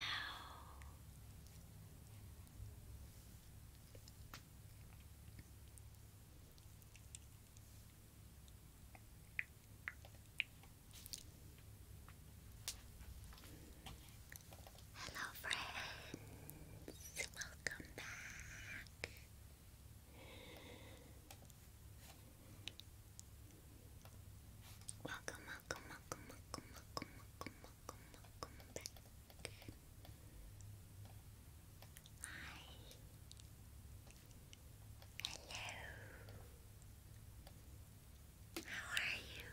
Hello, friends. Welcome back. Welcome, welcome, welcome, welcome, welcome, welcome, welcome, welcome back. Hi. Hello. How are you?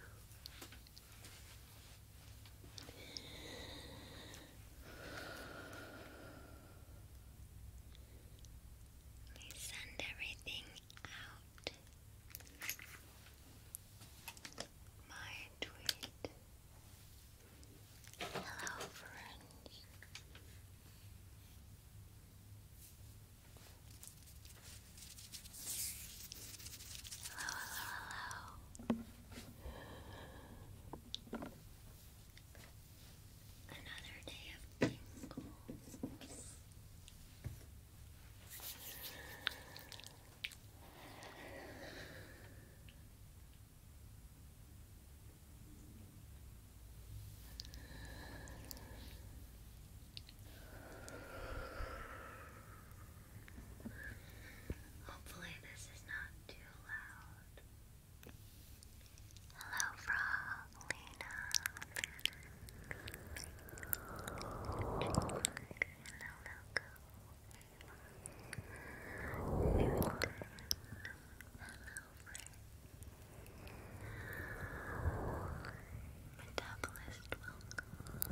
send everything out my tweet. Hello, friends. Hello, hello, hello. Another day of tingles. Hopefully, this is not too loud. Hello, Frog, Lena, hello, hello, friend. Metabolist, welcome.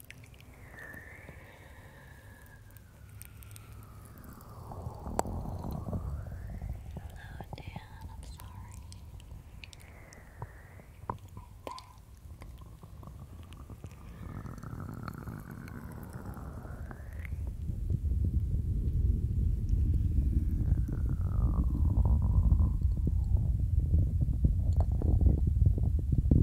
Dan, oh, I'm sorry. I'm back. Thank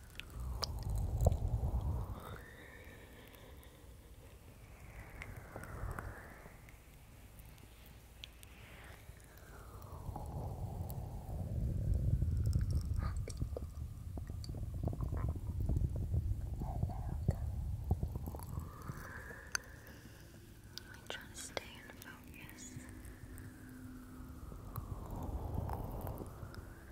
I try to stay in focus. Hello.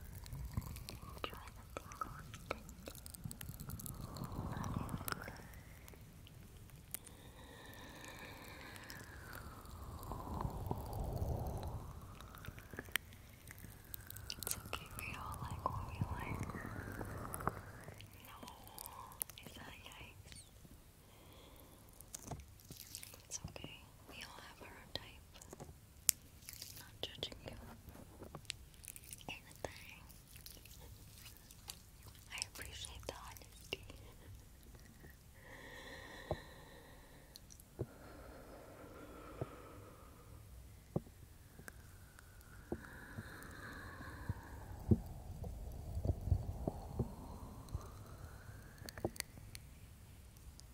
It's so we all like what we like. No, is that yikes? It's okay. We all have our own type. Not judging you. Anything. I appreciate the honesty.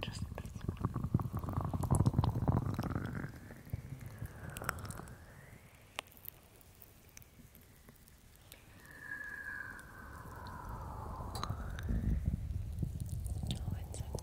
Just like this. Oh, it's okay.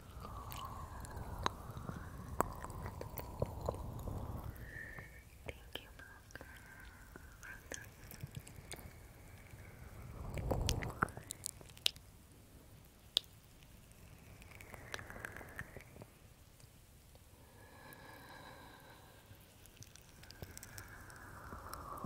Thank you, Malcolm.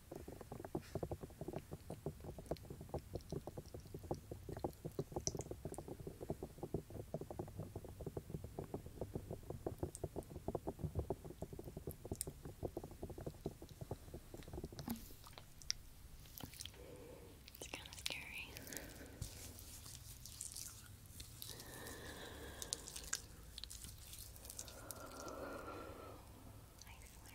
It's kind of scary. I swear I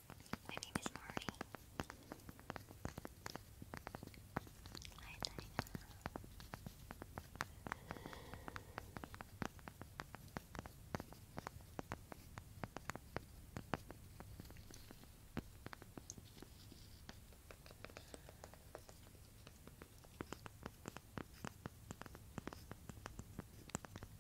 My name is Marty. Hi, Diana.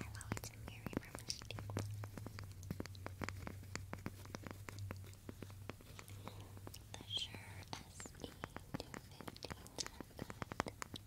Hello, it's Mary from Mystique. The Sure SE 250 jacket. It's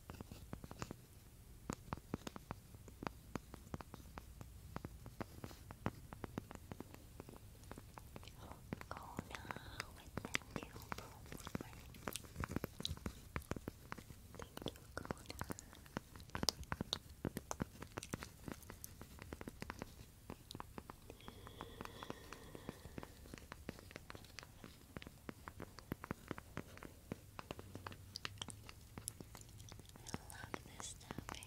Go now with the new Thank you, Kona. I love this tapping.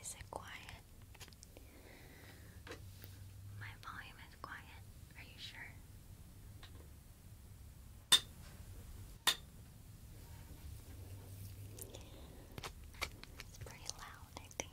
Is it quiet? My volume is quiet. Are you sure? It's pretty loud, I think.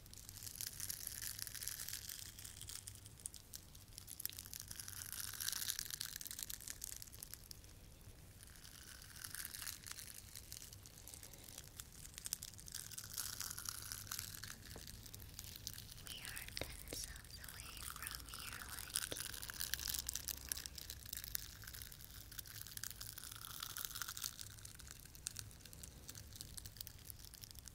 We are themselves away from here like you.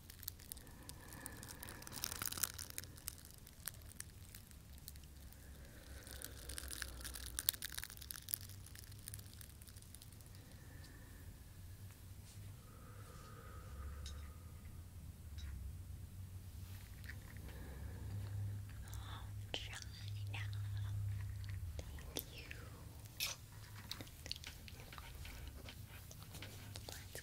Thank you. Let's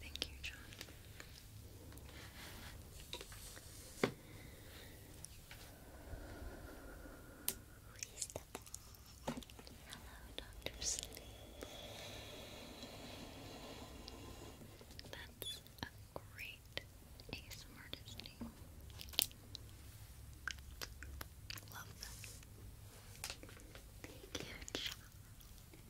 Thank you, John. Hello, Dr. Sleep. That's a great ASMR Disney. Love them. Thank you, John.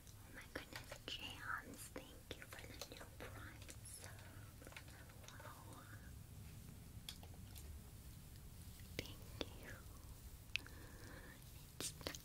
Oh my goodness, Jams, thank you for the new prime Thank you.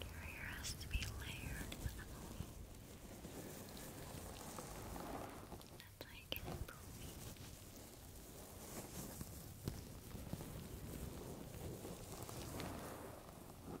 Your hair has to be layered with a That's how you get it poofy. Your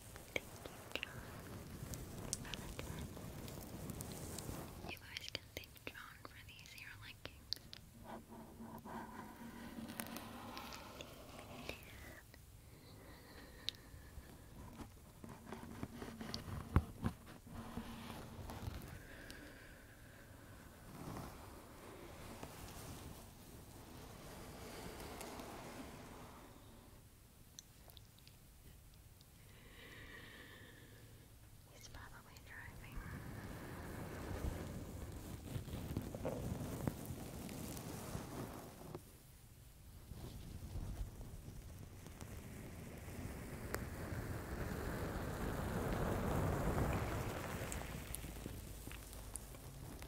Thank you, guys can thank John for these ear lickings. He's probably driving.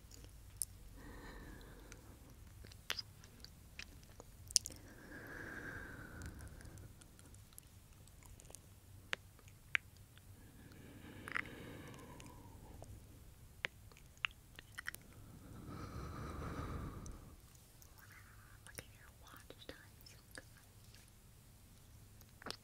Look at your watch time, so good. Good.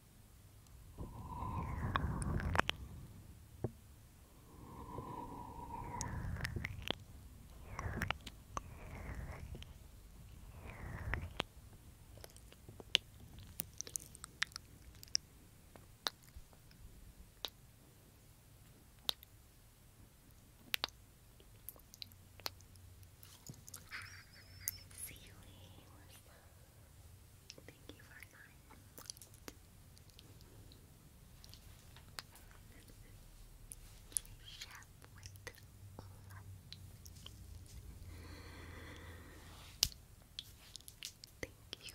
See you Thank you for nine. Chef with love. Thank you.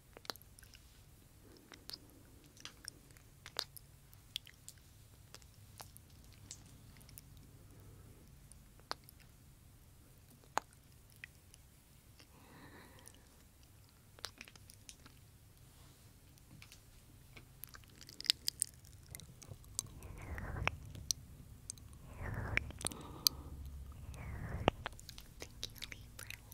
Thank you, Libra.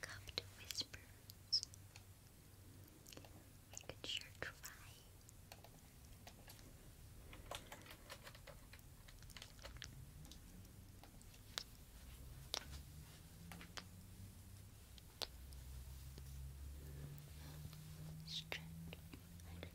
Cupped whispers. We could sure try. Stretch.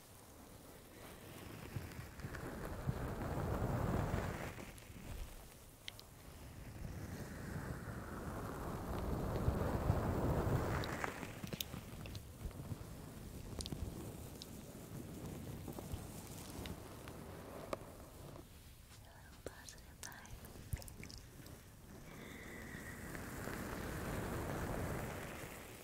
little positive vibe.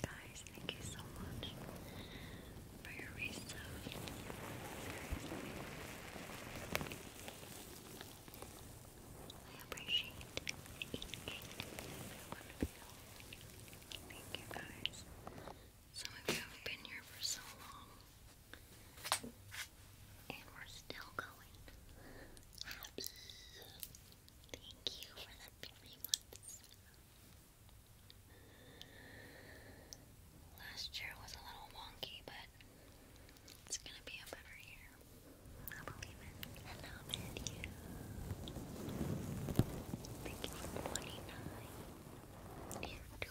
Guys, thank you so much for your resub. I appreciate each Thank you guys. Some of you have been here for so long. And we're still going. Happy. Thank you for the three months. Last year was a little wonky, but it's gonna be a better year. I believe it. Hello, Thank you for 29. And two.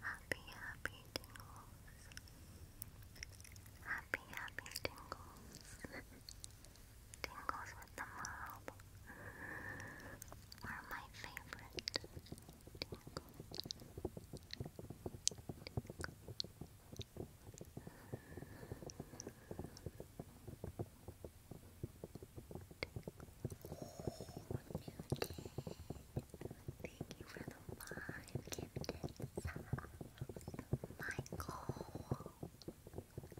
Happy, happy tingles. Happy, happy tingles. tingles with the mob are my favorite. Thank you for the five gifted subs. Michael.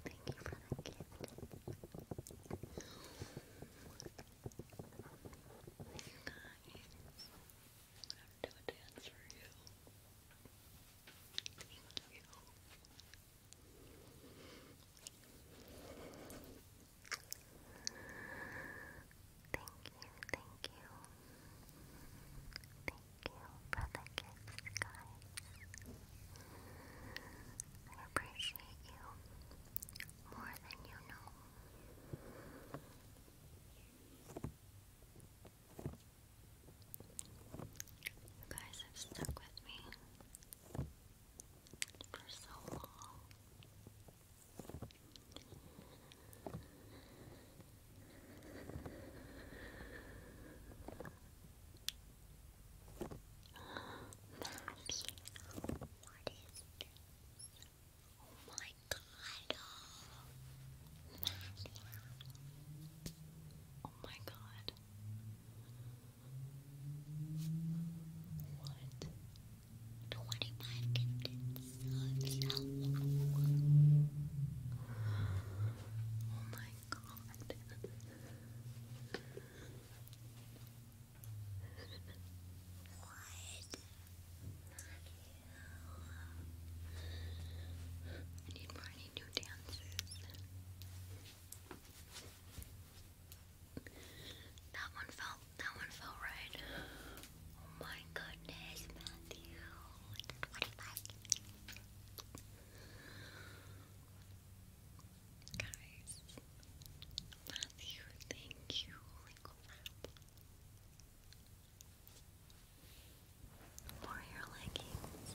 Thank you for the gift. You guys, I'm going dance for you. Thank you. Thank you, thank you. Thank you for guys. I appreciate you more than you know. You guys have stuck with me for so Oh my god. Oh my god. What? 25 gifted Oh my god. What? I need more, I need new dances. That one felt that one felt right. Oh my goodness, Matthew. What Guys Matthew, thank you. Holy crap. For your leggings.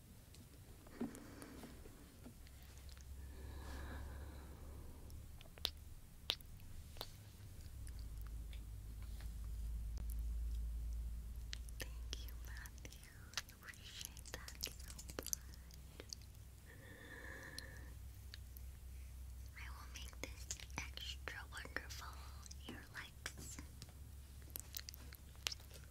Thank you, Matthew. I appreciate that I will make this extra wonderful. Your likes.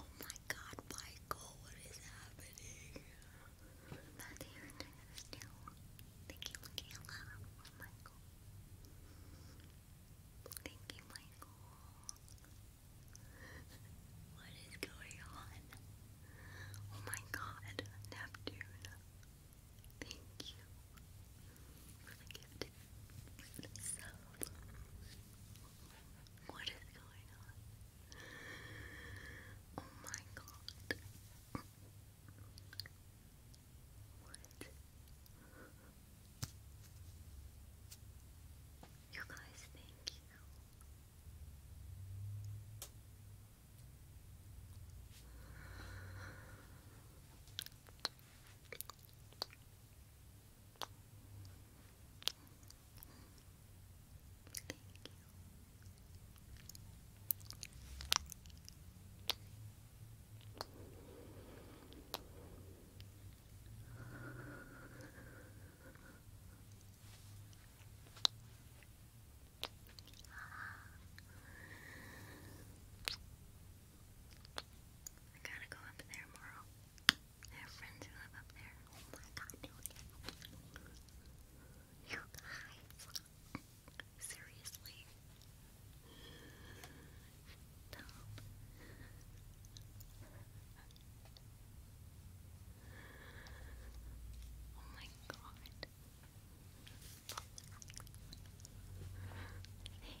Oh my god, Michael, what is happening? That's the other Thank you, Michael. Thank you, Michael. What is going on? Oh my god, Neptune. Thank you for the gift. So. What is going on? Oh my god. What? You guys, thank you. I gotta go up there tomorrow. I have friends who live up there. Oh my god, no You guys. Seriously. Stop. Oh my god. Hey.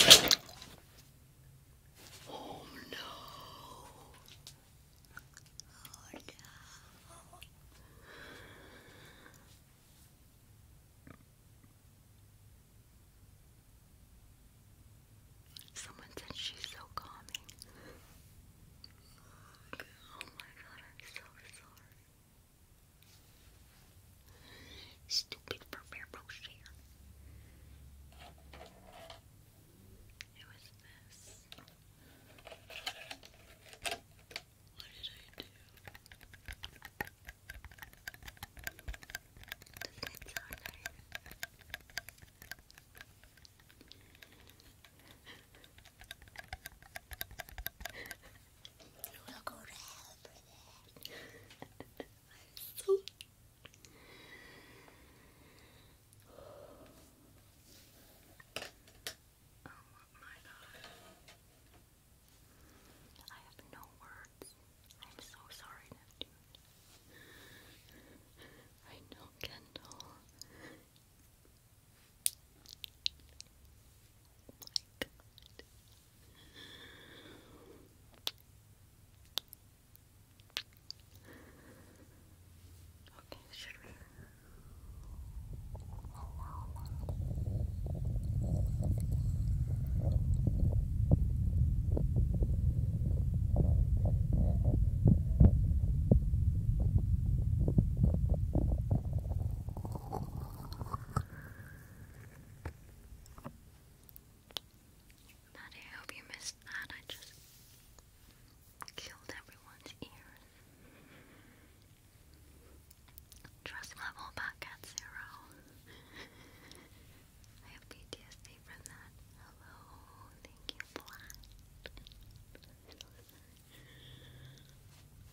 Oh no. Oh no. Someone said she's so calming. Oh my god, I'm so sorry. Stupid Ferber Rocher. Who is this? What did I do? Doesn't it sound I'm so. have no words. I'm so sorry, Neptune. I know, Kendall my god. Okay, should we? Hello, Daddy, I hope you missed that. I just killed everyone's ears. Trust level back at zero. I have PTSD from that. Hello, thank you, Flat.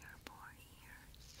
Your poor ears.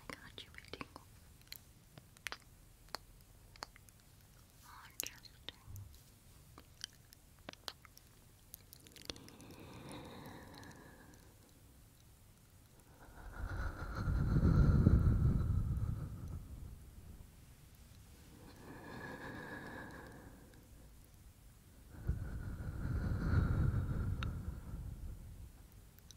I got you a tingle. Oh, just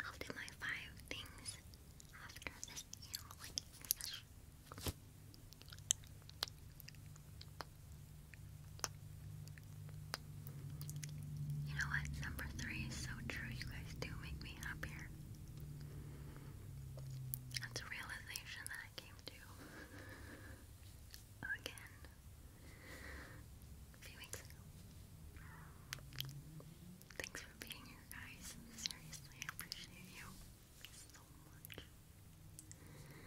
I'll do my five things after this earring You know what? Number three is so true. You guys do make me happier. That's a realization that I came to again a Thanks for being here, guys. Seriously, I appreciate you so much. Thank you.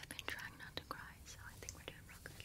I've been trying not to cry, so I think we're doing real good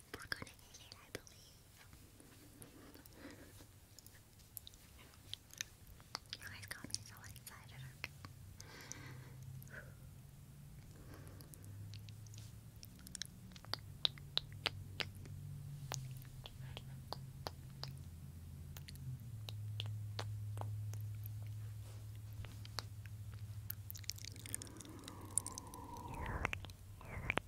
We're gonna hit it, I believe. You guys got me so excited, okay?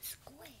Squid.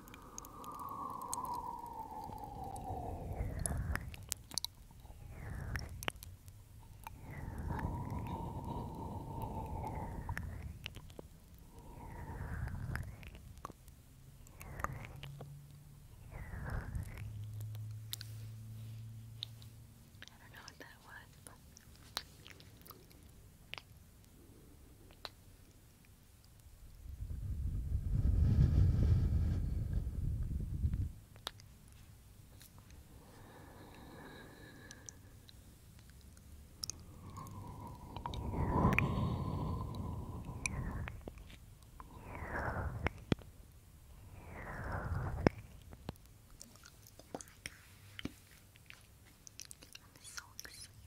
I don't know what that was, but I'm so excited.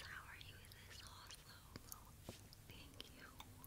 How are you in this Oslo? Thank you. Hello.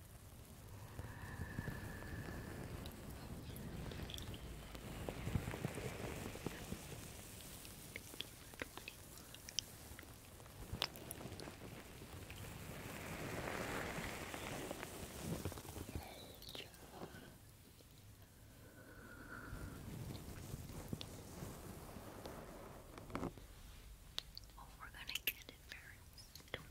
Oh, we're gonna get it first.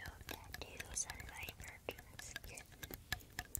No tattoos on my virgin skin.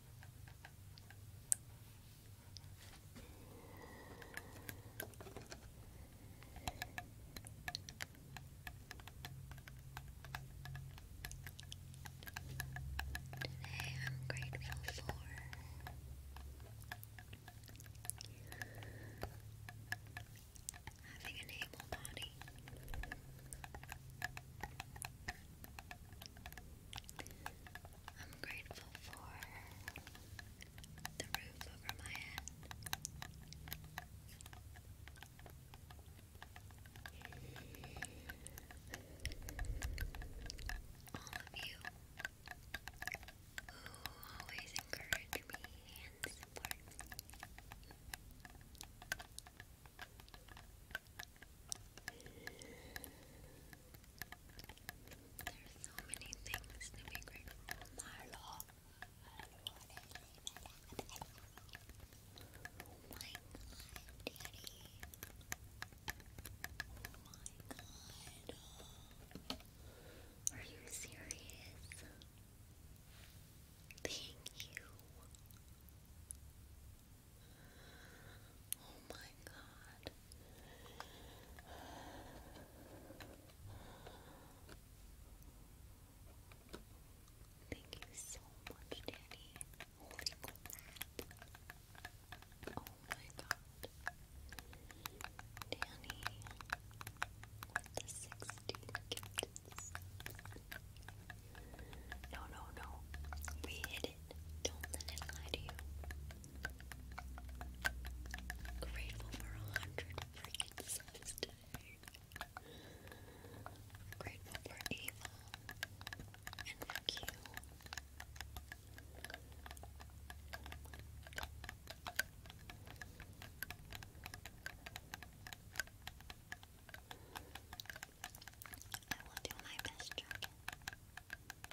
Today I'm grateful for having an able body. I'm grateful for the roof over my head. All of you who always encourage me and support me. There's so many things to be grateful for. Marlo. Oh my god, daddy. Oh my god. Are you serious? Thank you. Oh my god. Thank you so much, Danny. Oh my god. Danny with the 16 gifts. No, no, no. We hid it. Don't let it lie to you. Grateful for a hundred freaking subs today. Grateful for Ava and for I will do my best, Dragon.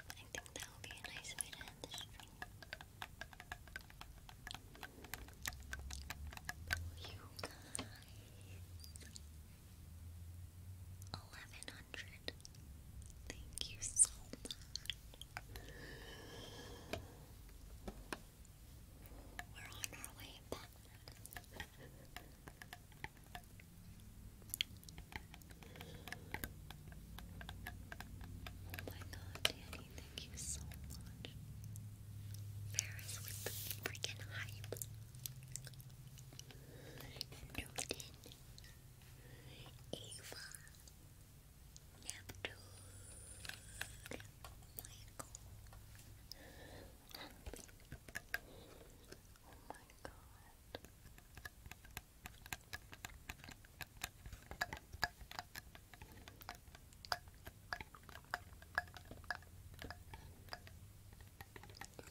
I think that will be a nice way to end the stream. You guys. 1100. Thank you so much. We're on our way back. Oh my god, Danny, thank you so much. Ferris with the freaking hype. Newton. Ava. Neptune. Michael. Oh my god. Of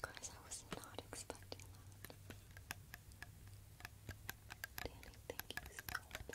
I was not expecting that. Danny, thank you so much.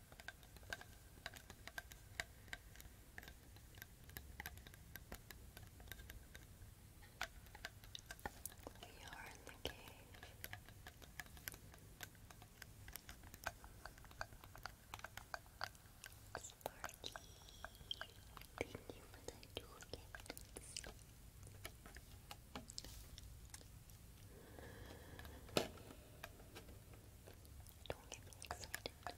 We are in the cave. Sparky, thank you for the toolkit. Don't get me excited.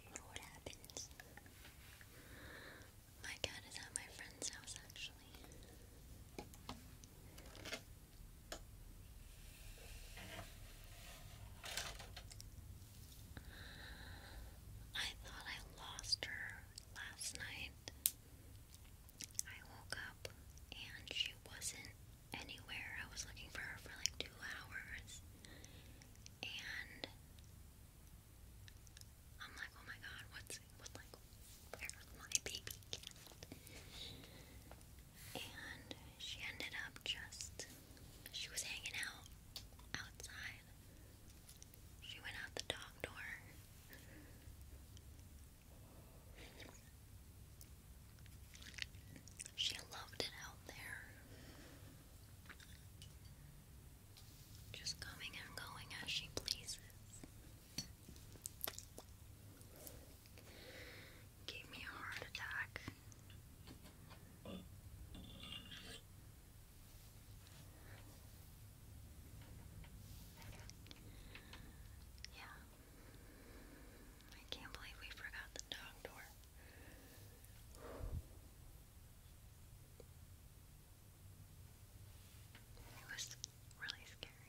You know what happens? My cat is at my friend's house actually. I thought I lost her last night. I woke up and she wasn't anywhere. I was looking for her for like two hours. And I'm like, oh my god, what's what like where's my baby cat? And she ended up just she was hanging out outside. She went out the dog door. She loved it out there. Just coming and going as she pleases. Gave me a heart attack. Yeah. I can't believe we forgot the dog door. It was really scary.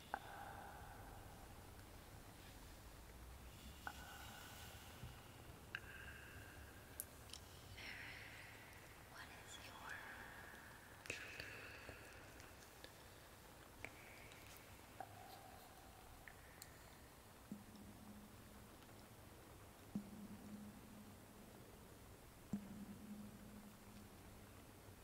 What is your trigger word? What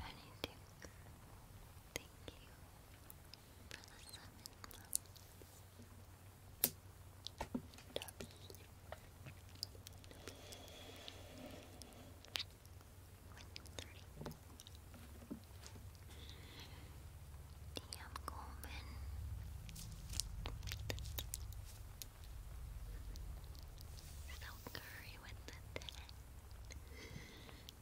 Renadix, thank you for the summon Dobby. DM Coleman. So curry with the ten.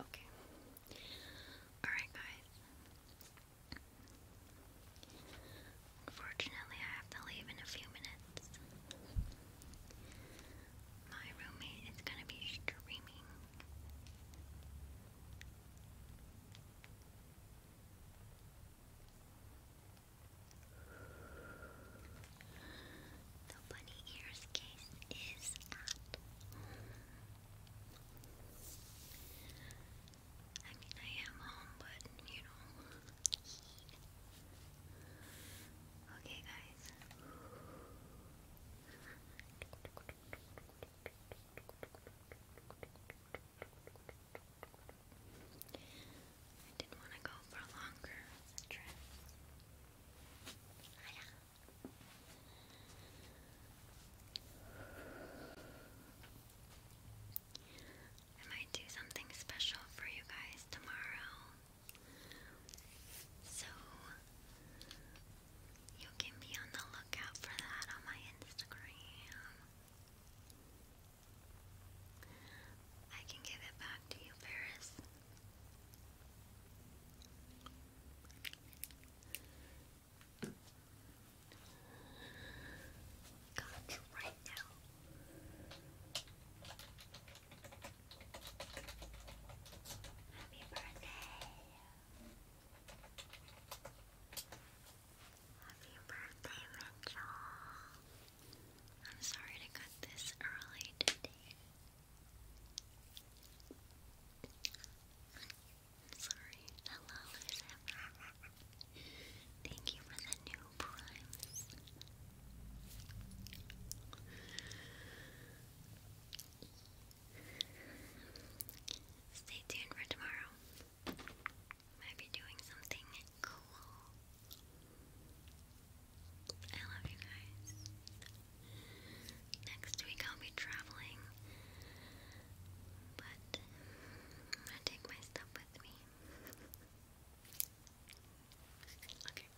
Okay. Alright, guys. Unfortunately, I have to leave in a few minutes. My roommate is going to be screaming. The bunny ears case is at I mean, I am home, but you know. okay, guys. I didn't want to go for a longer trip. Ah, I might do something special for you guys tomorrow. So you can be on the look out for that on my Instagram. I can give it back to you, Paris. Got you right now. Happy birthday. Happy birthday, Mitchell. I'm sorry to cut this early Sorry. Hello, Lisa. Thank you for the new primes. Stay tuned for tomorrow. Maybe doing something cool. I love you guys. Next week I'll be traveling, but I take my stuff with me. okay.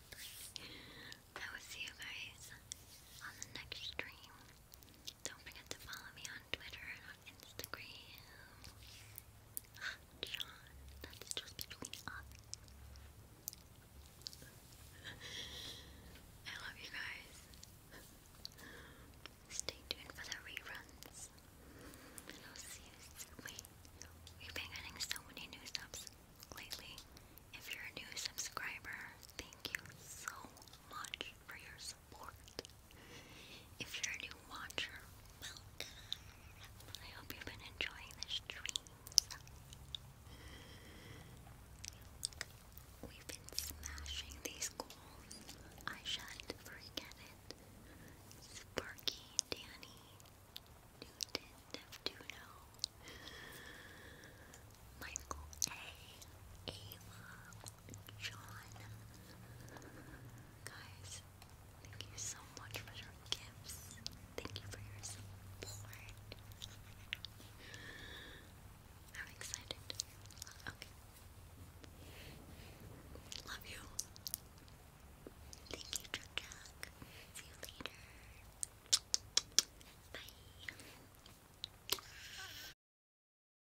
I will see you guys on the next stream. Don't forget to follow me on Twitter and on Instagram. John, that's just between us. I love you guys. Stay tuned for the reruns. we've been getting so many new subs lately. If you're a new subscriber, thank you so much for your support. If you're a new watcher, welcome. I hope you've been enjoying the streams. We've been smashing these goals. I shan't forget it. Sparky, Danny, Newton, Neptuno, Michael Ava, John. Guys, thank you so much for your gifts. Thank you for your support. I'm excited. Love you. Thank you, Jack See you later. Bye.